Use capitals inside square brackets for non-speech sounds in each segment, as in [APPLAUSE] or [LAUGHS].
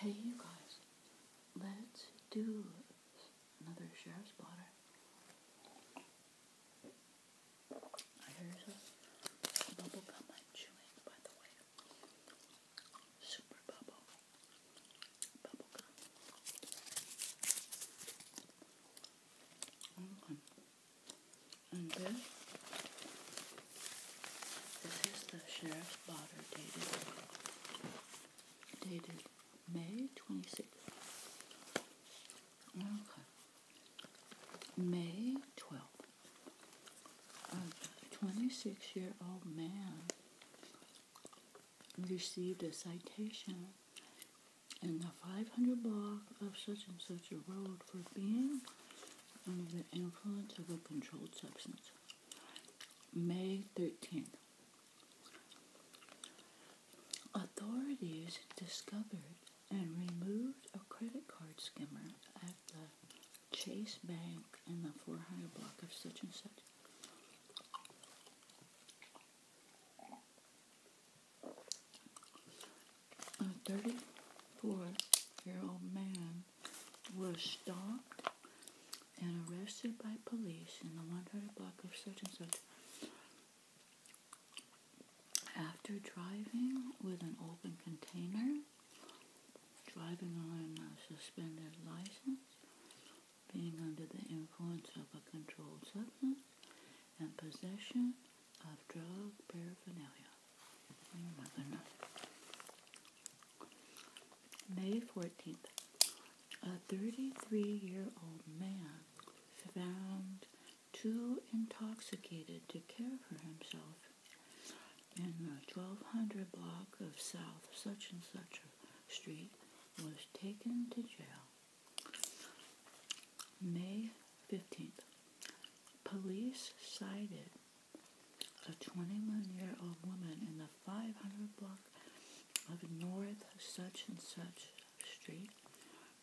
Hey you guys, let's do another sheriff's blotter. Here's a bubble gum I'm chewing, by the way. Super bubble. Bubble gum. Mm-hmm. And this, this is the sheriff's blotter dated, May 26th. Okay. May 12th. A 26-year-old man received a citation in the 500 block of such and such a road for being under the influence of a controlled substance. May 13th. Authorities discovered and removed a credit card skimmer at the Chase Bank in the 400 block of such and such a 34-year-old man was stopped and arrested by police in the 100 block of such and such after driving with an open container, driving on a suspended license, being under the influence of a controlled substance, and possession of drug paraphernalia. May 14th, a 33-year-old man found too intoxicated to care for himself in the 1200 block of South such and such street was taken to jail. May 15th, police cited a 21-year-old woman in the 500 block of North such and such street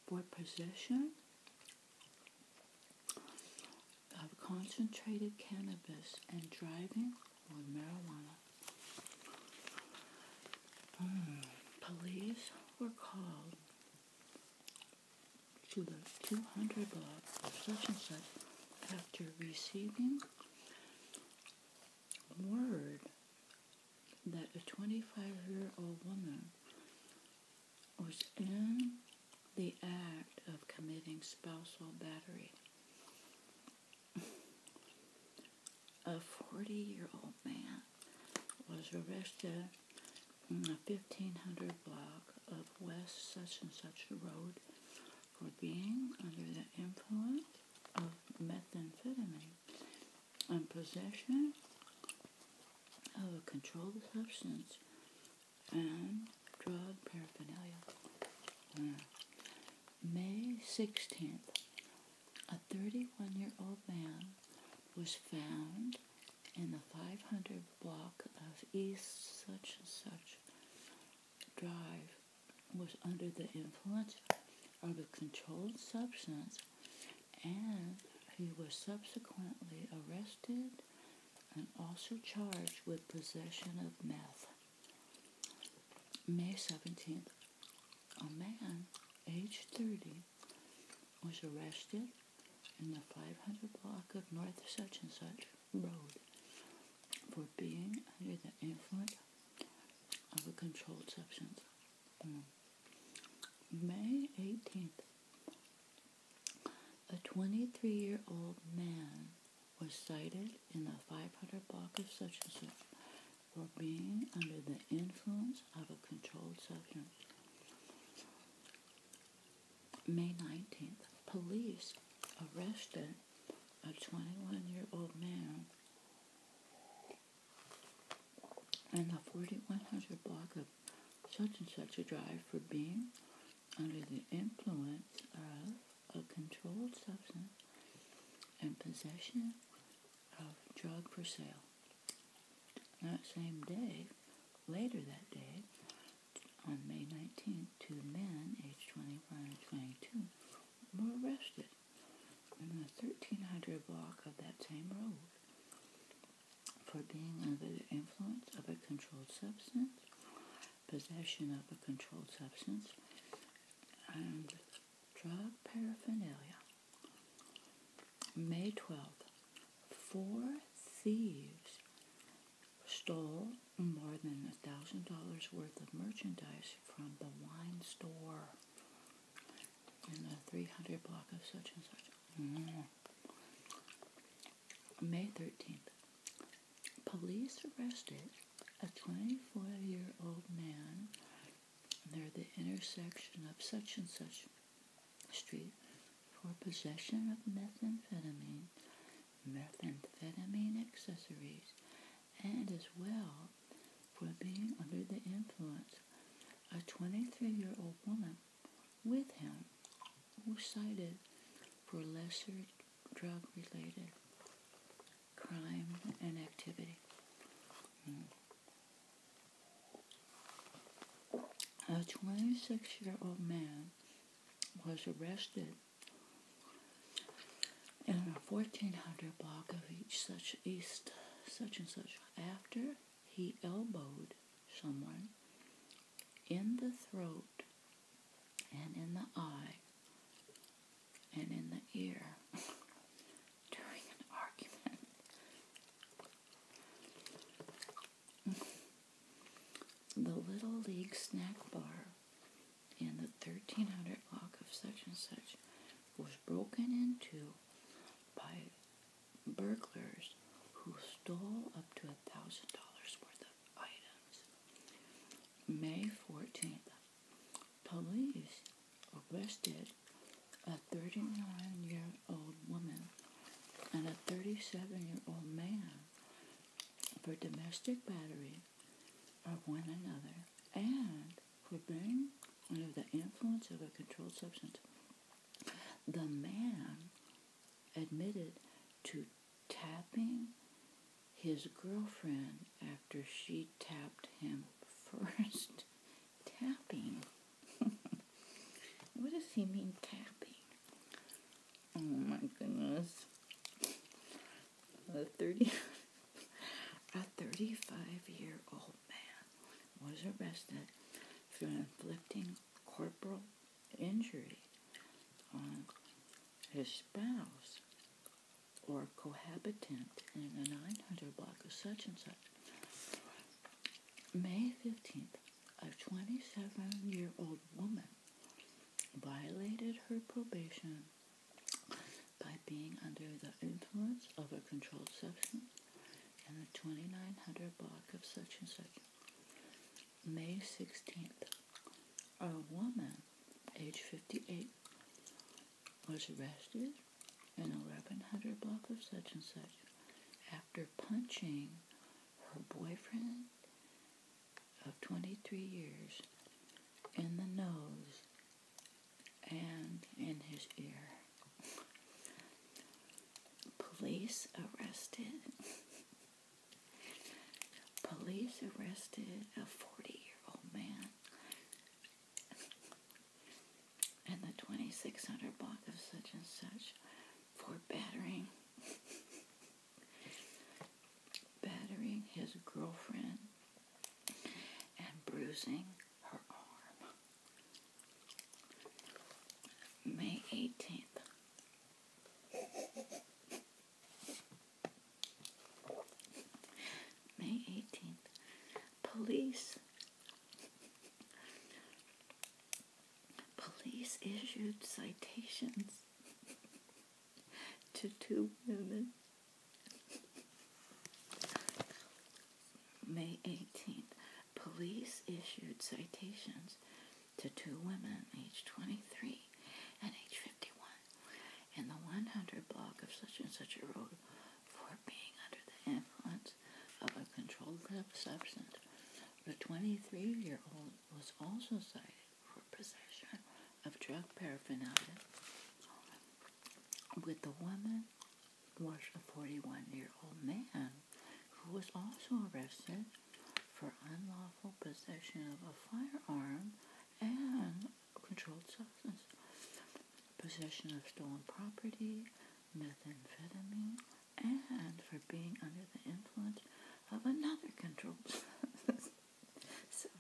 for possession of concentrated cannabis and driving with marijuana. Hmm, police were called to the 200 block of such and such after receiving word that a 25-year-old woman was in the act of committing spousal battery. a 40-year-old man was arrested a 1500 block of West such and such road for being under the influence of methamphetamine and possession of a controlled substance and drug paraphernalia. Hmm. May 16th, a 31 year old man was found in the 500 block of East such and such Drive was under the influence of a controlled substance and he was subsequently arrested and also charged with possession of meth. May 17th, a man, age 30, was arrested in the 500 block of North Such and Such Road for being under the influence of a controlled substance. Mm. May 18th, a 23 year old man was cited in the 500 block of Such and Such for being under the influence of a controlled substance. May 19th, police arrested a 21 year old man in the 4100 block of such and such a drive for being under the influence of a controlled substance and possession of drug for sale. That same day, Later that day, on May 19th, two men, aged 21 and 22, were arrested in the 1300 block of that same road for being under the influence of a controlled substance, possession of a controlled substance, and drug paraphernalia. May 12th, four thieves stole more than a thousand dollars worth of merchandise from the wine store in the 300 block of such and such. Mm. May 13th, police arrested a 24 year old man near the intersection of such and such Street for possession of methamphetamine, methamphetamine accessories, and as well for being under the influence. A 23 year old woman with him was cited for lesser drug related crime and activity. Hmm. A 26 year old man was arrested in a 1400 block of each such east such and such after he elbowed someone in the throat and in the eye and in the ear [LAUGHS] during an argument the Little League Snack Bar in the 1300 block of such and such was broken into by burglars who stole up to a thousand dollars worth of items. May 14th, police arrested a 39 year old woman and a 37 year old man for domestic battery of one another and for being under the influence of a controlled substance. The man admitted to tapping his girlfriend after she tapped him [LAUGHS] first. Tapping. [LAUGHS] what does he mean tapping? Oh my goodness. A 30 [LAUGHS] a 35 year old man was arrested for inflicting corporal injury on his spouse or cohabitant in a 900 block of such and such. May 15th, a 27 year old woman violated her probation by being under the influence of a controlled substance and the 2900 block of such and such. May 16th, a woman, age 58, was arrested an 1100 block of such and such after punching her boyfriend of 23 years in the nose and in his ear. Police arrested. Police arrested a 40 year old man and the 2600 block of such and such for battering [LAUGHS] battering his girlfriend and bruising her arm. May 18th. May 18th, Police. Police issued citations to two women. May 18th, police issued citations to two women, age 23 and age 51, in the 100 block of such and such a road for being under the influence of a controlled substance. The 23-year-old was also cited for possession of drug paraphernalia with the woman was a 41-year-old man who was also arrested for unlawful possession of a firearm and controlled substance, possession of stolen property, methamphetamine, and for being under the influence of another controlled [LAUGHS]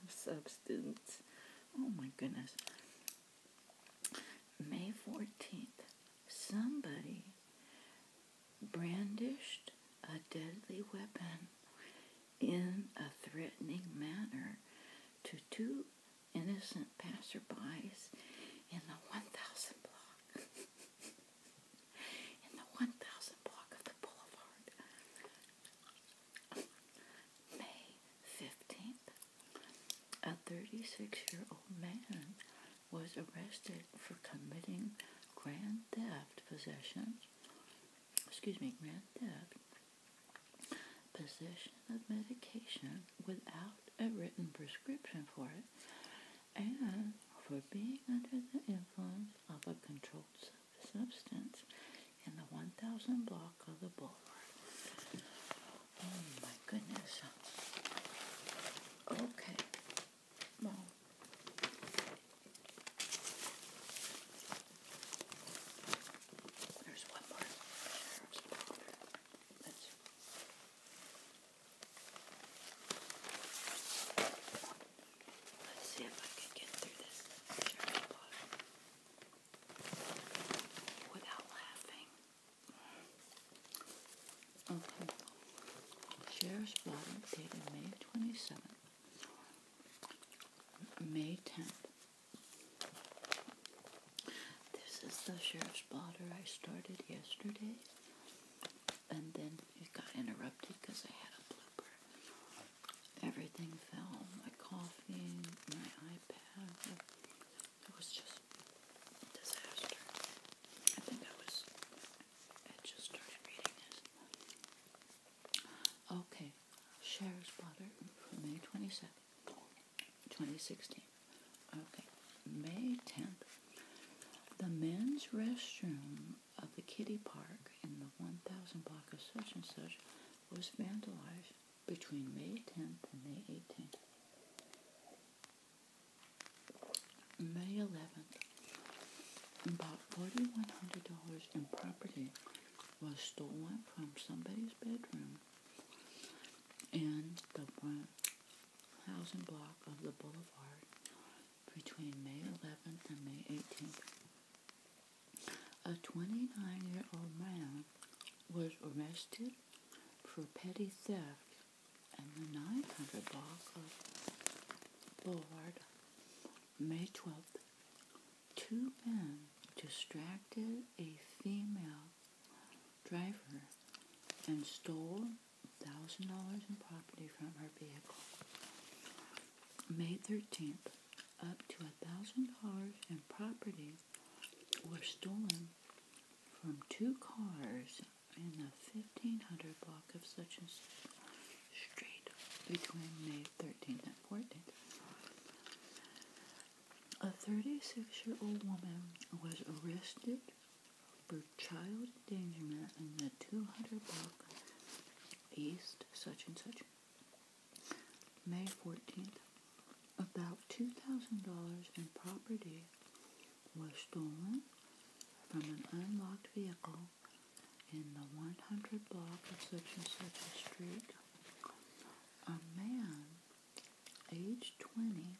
substance. Oh my goodness. May 14th, somebody brandished a deadly weapon in a threatening manner to two innocent passerbys in the 1000 block. [LAUGHS] in the 1000 block of the boulevard. May 15th, a 36 year old man was arrested for committing grand theft possession, excuse me, grand theft, possession of medication without a written prescription for it and for being under the influence of a controlled substance in the 1000 block of the boulevard. Oh my goodness. Okay. Well, there's one more. Let's see if I can get through this without laughing. Okay. Sheriff's Blotter dated May 27th. May 10th. This is the sheriff's blotter I started yesterday, and then it got interrupted because I had a blooper. Everything fell my coffee, my iPad. It was just a disaster. I think I was, I just started reading this. Okay, sheriff's blotter from May 22nd. 2016. Okay, May 10th. The men's restroom of the Kitty Park in the 1000 block of such and such was vandalized between May 10th and May 18th. May 11th. About $4,100 in property was stolen from somebody's bedroom in the 1,000 block of the boulevard between May 11th and May 18th. A 29-year-old man was arrested for petty theft in the 900 block of Boulevard May 12th. Two men distracted a female driver and stole $1,000 in property from her vehicle. May 13th, up to $1,000 in property were stolen from two cars in the 1500 block of such and such street between May 13th and 14th. A 36 year old woman was arrested for child endangerment in the 200 block east such and such. May 14th. About $2,000 in property was stolen from an unlocked vehicle in the 100 block of such and such street. A man age 20,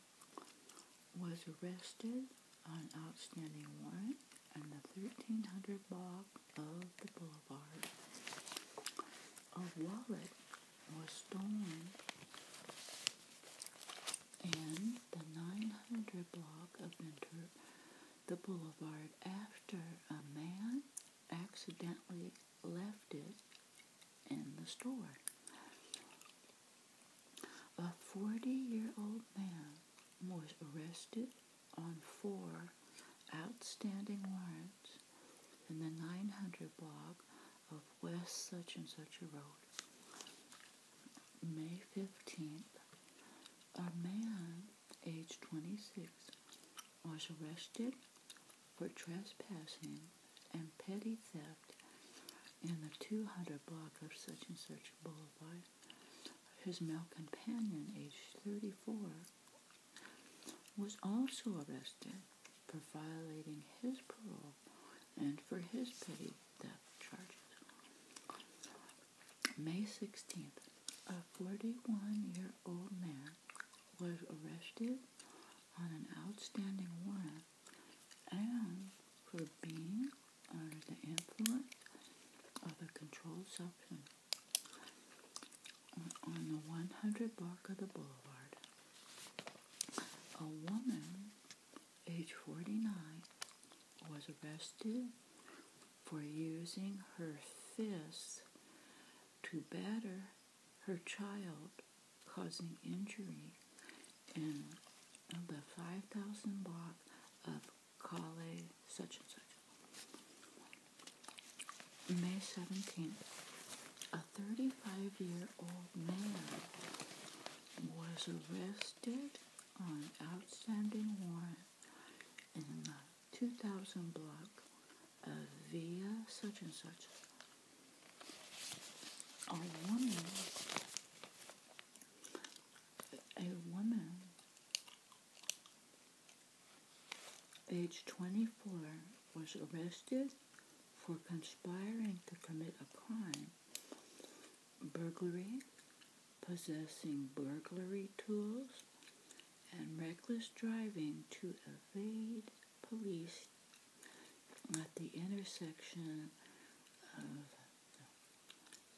was arrested on outstanding warrant in the 1300 block of the boulevard. A wallet was stolen and the 900 block of Enter the Boulevard after a man accidentally left it in the store. A 40 year old man was arrested on four outstanding warrants in the 900 block of West Such and Such a Road. May 15th, a man aged 26 was arrested for trespassing and petty theft in the 200 block of such and such boulevard. His male companion, aged 34, was also arrested for violating his parole and for his petty theft charges. May 16th, a 41 year old man was arrested on an outstanding warrant and for being under the influence of a controlled substance on the 100 block of the boulevard. A woman, age 49, was arrested for using her fists to batter her child causing injury in the 5,000 block of Calais, such and such. May 17th, a 35 year old man was arrested on outstanding warrant in the 2000 block of Via such and such a woman, a woman age 24 was arrested for conspiring to commit a crime, burglary, possessing burglary tools, and reckless driving to evade police at the intersection of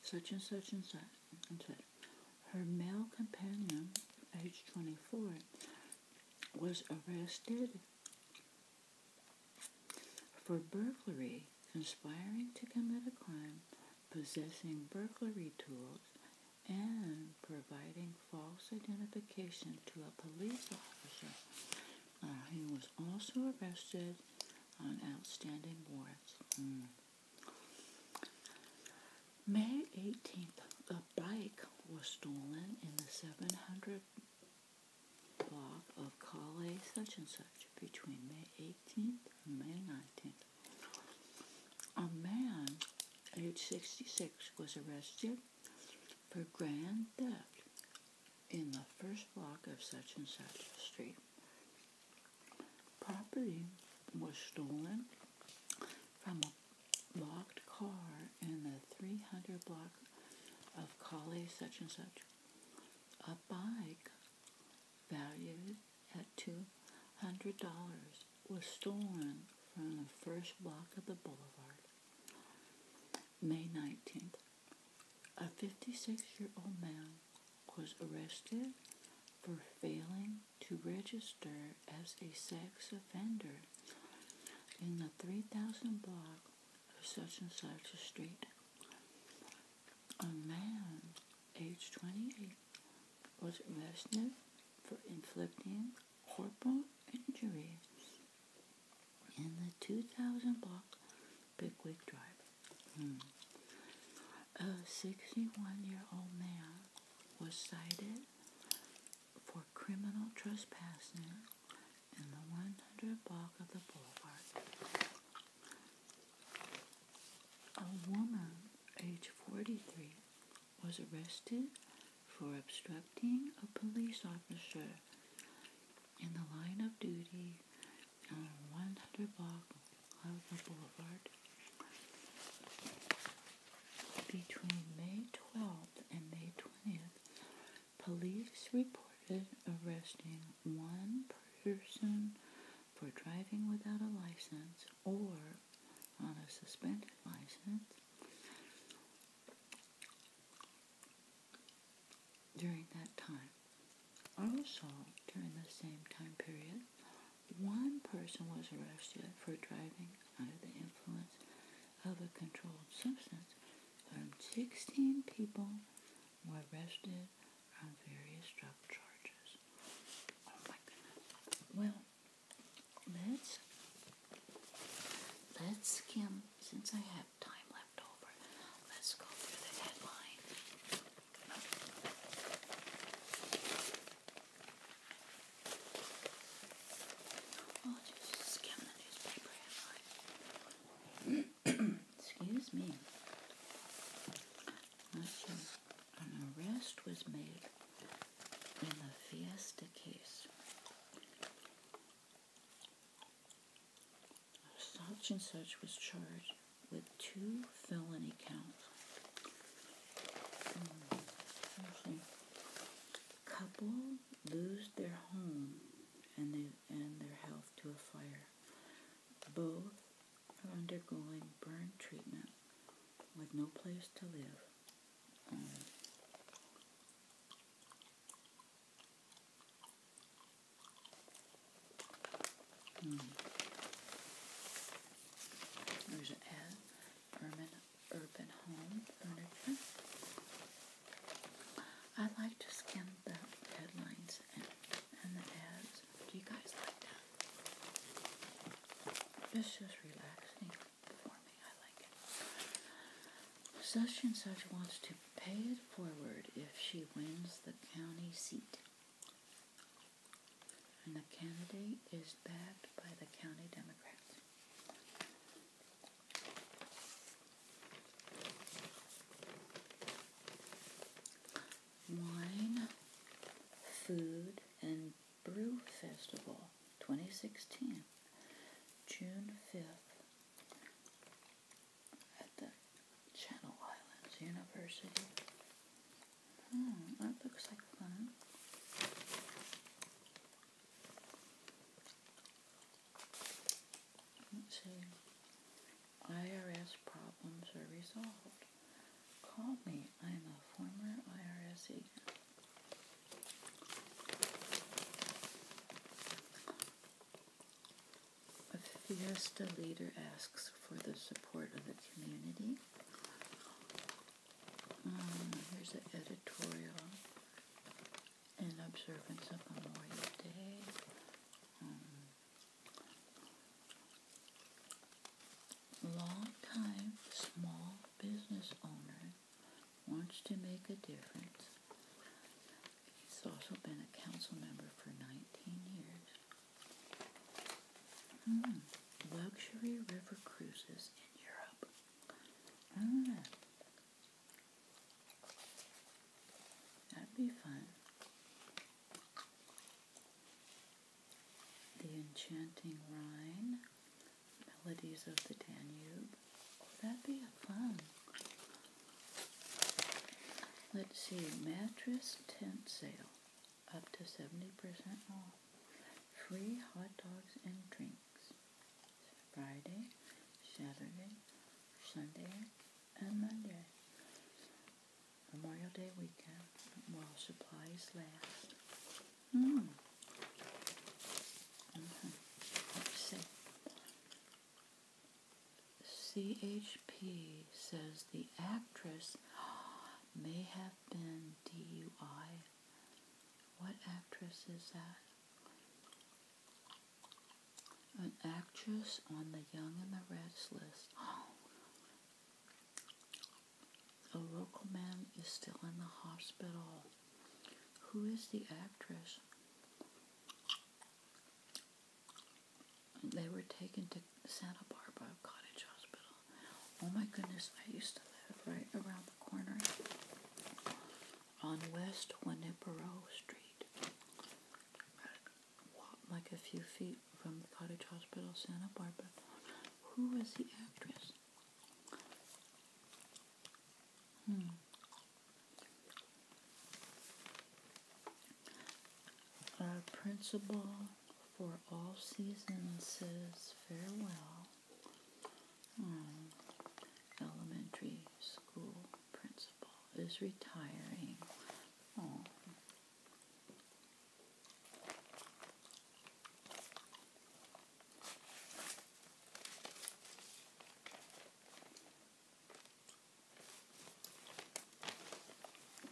such and such and such and such. Her male companion, age 24, was arrested for burglary, conspiring to commit a crime, possessing burglary tools, and providing false identification to a police officer. Uh, he was also arrested on outstanding warrants. Mm. May 18th, a bike was stolen in the 700 block of Calais such and such between May 18th and May 19th. A man, age 66, was arrested for grand theft in the first block of such and such street. Property was stolen from a locked car in the 300 block of Colley such and such. A bike valued at $200 was stolen from the first block of the boulevard, May 19th. A 56 year old man was arrested for failing to register as a sex offender in the 3000 block of such and such a street. A man, age 28, was arrested for inflicting corporal injuries in the 2000 block Bigwig Drive. Hmm. A 61-year-old man was cited for criminal trespassing in the 100 block of the boulevard. A woman, age 43, was arrested for obstructing a police officer in the line of duty on 100 block of the boulevard between May 12th and May 20th. Police reported arresting one person for driving without a license or on a suspended license during that time. Also, during the same time period, one person was arrested for driving under the influence of a controlled substance. And 16 people were arrested on various drug charges. Oh my goodness. Well, let's let's skim since I have time left over. Let's go through the headline. I'll skim the newspaper [CLEARS THROAT] Excuse me. An arrest was made in the Fiesta case. Such and such was charged with two felony counts. Hmm. Couple lose their home and their health to a fire. Both are undergoing burn treatment with no place to live. Mm. There's an ad, urban, urban home furniture. I like to scan the headlines and, and the ads. Do you guys like that? It's just relaxing. Such and such wants to pay it forward if she wins the county seat. And the candidate is backed by the county Democrats. Wine, food, and Brew Festival 2016, June 5th, at the Channel Islands University. Hmm, that looks like fun. Let's see. IRS problems are resolved. Call me. I am a former IRS agent. A Fiesta leader asks for the support of the community. Um, mm, here's an editorial in observance of Memorial Day. Mm. long time small business owner wants to make a difference. He's also been a council member for 19 years. Hmm, luxury river cruises in Europe. Hmm. That'd be fun. The Enchanting Rhine, Melodies of the Danube. Oh, that'd be fun. Let's see, mattress tent sale, up to 70% off. Free hot dogs and drinks. Friday, Saturday, Sunday, and Monday. Memorial Day weekend while supplies last. Hmm. Let's see. CHP says the actress may have been DUI. What actress is that? An actress on the Young and the Restless. list. A local man is still in the hospital. Who is the actress? They were taken to Santa Barbara Cottage Hospital. Oh my goodness, I used to live right around the corner on West Winneboro Street. Like a few feet from the Cottage Hospital, Santa Barbara. Who was the actress? Hmm. Our principal for all seasons says farewell. Hmm. Elementary school principal is retiring. Hmm.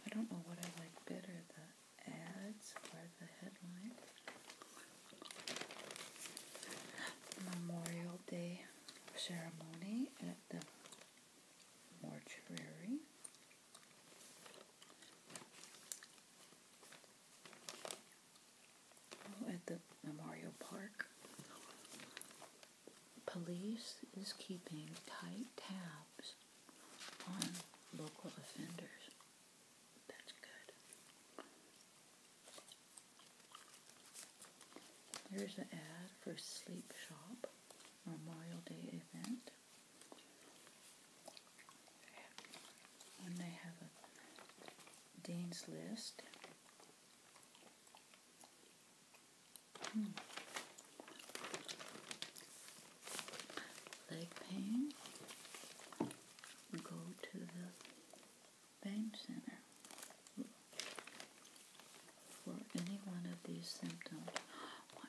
I don't know what I like better, the ads or the headline. Memorial Day ceremony at the mortuary at the Memorial Park, police is keeping tight tabs on local offenders. That's good. There's an ad for Sleep Shop Memorial Day event when they have a Dean's List. Hmm. Leg pain. Go to the pain center for any one of these symptoms. [GASPS] 1,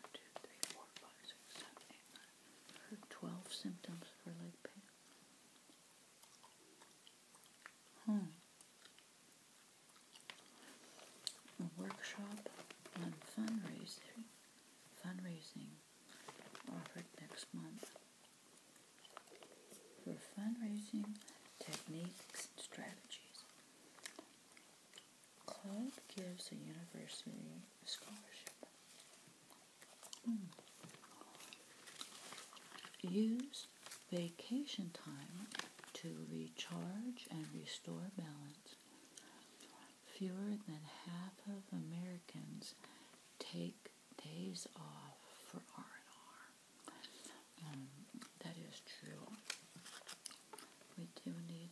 12 symptoms for leg pain. Hmm. workshop on fundraising. Fundraising offered next month. For fundraising techniques and strategies. Club gives a university scholarship. Hmm. Use vacation time to recharge and restore balance. Fewer than half of Americans take days off for R&R. Um, that is true. We do need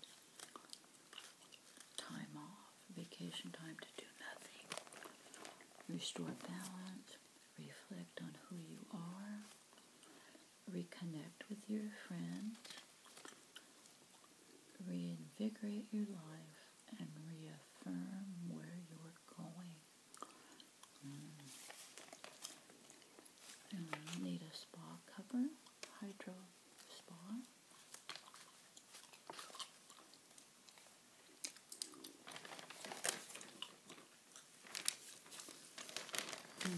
time off, vacation time to do nothing. Restore balance, reflect on who you are, reconnect with your friends, reinvigorate your life, and reaffirm where you're going. Mm. need a spa cover, hydro spa. Hmm.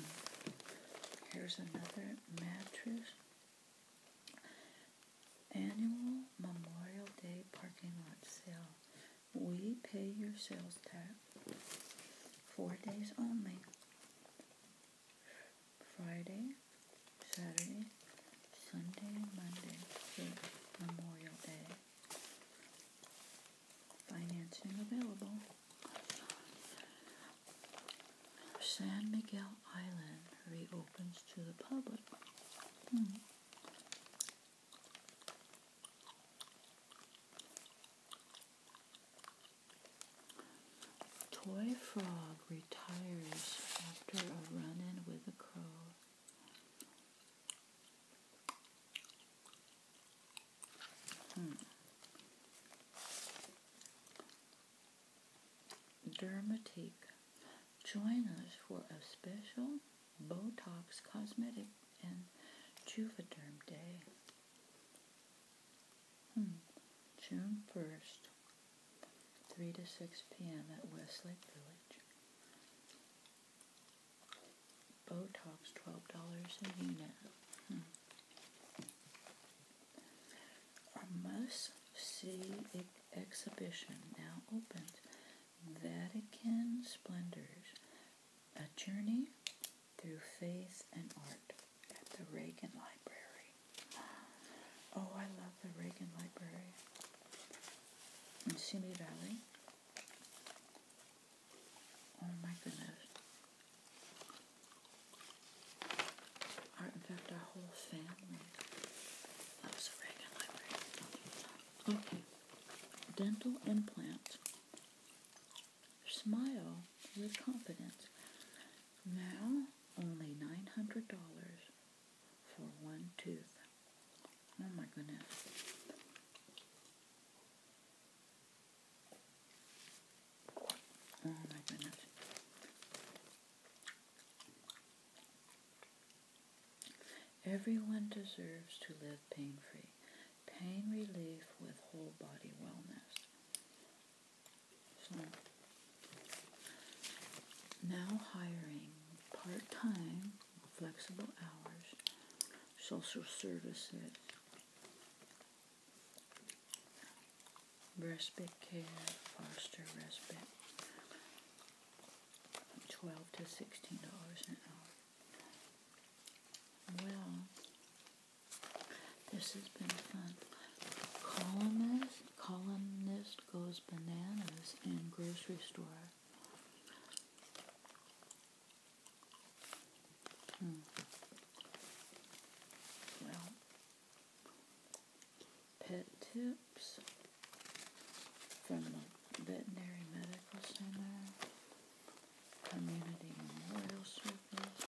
Here's another mattress. Annual Memorial Day parking lot sale. We pay your sales tax. Four days only. Friday, Saturday, Sunday, Monday Memorial Day. Financing available. San Miguel Island reopens to the public. Hmm. Toy frog retires after a run in with a crow. Hmm. Dermatique. Join us for a special Botox cosmetic and Juvederm day. Hmm. June 1st, 3 to 6 p.m. at Westlake Village. Botox $12 a unit. Our hmm. must see exhibition now opens. Vatican Splendors A Journey Through Faith and Art at the Reagan Library. Oh, I love the Reagan Library in Simi Valley. Oh my goodness. Our, in fact, our whole family loves the Reagan Library. Okay. Dental implant. Smile with confidence. Now, only $900 for one tooth. Oh my goodness. Oh my goodness. Everyone deserves to live pain free. Pain relief with whole body wellness. So hmm. now hiring part-time, flexible hours, social services, respite care, foster respite, 12 to $16 an hour. Well, this has been fun. Columnist, columnist goes bananas in grocery store. Hmm. Well, pet tips from the veterinary medical center, community memorial service.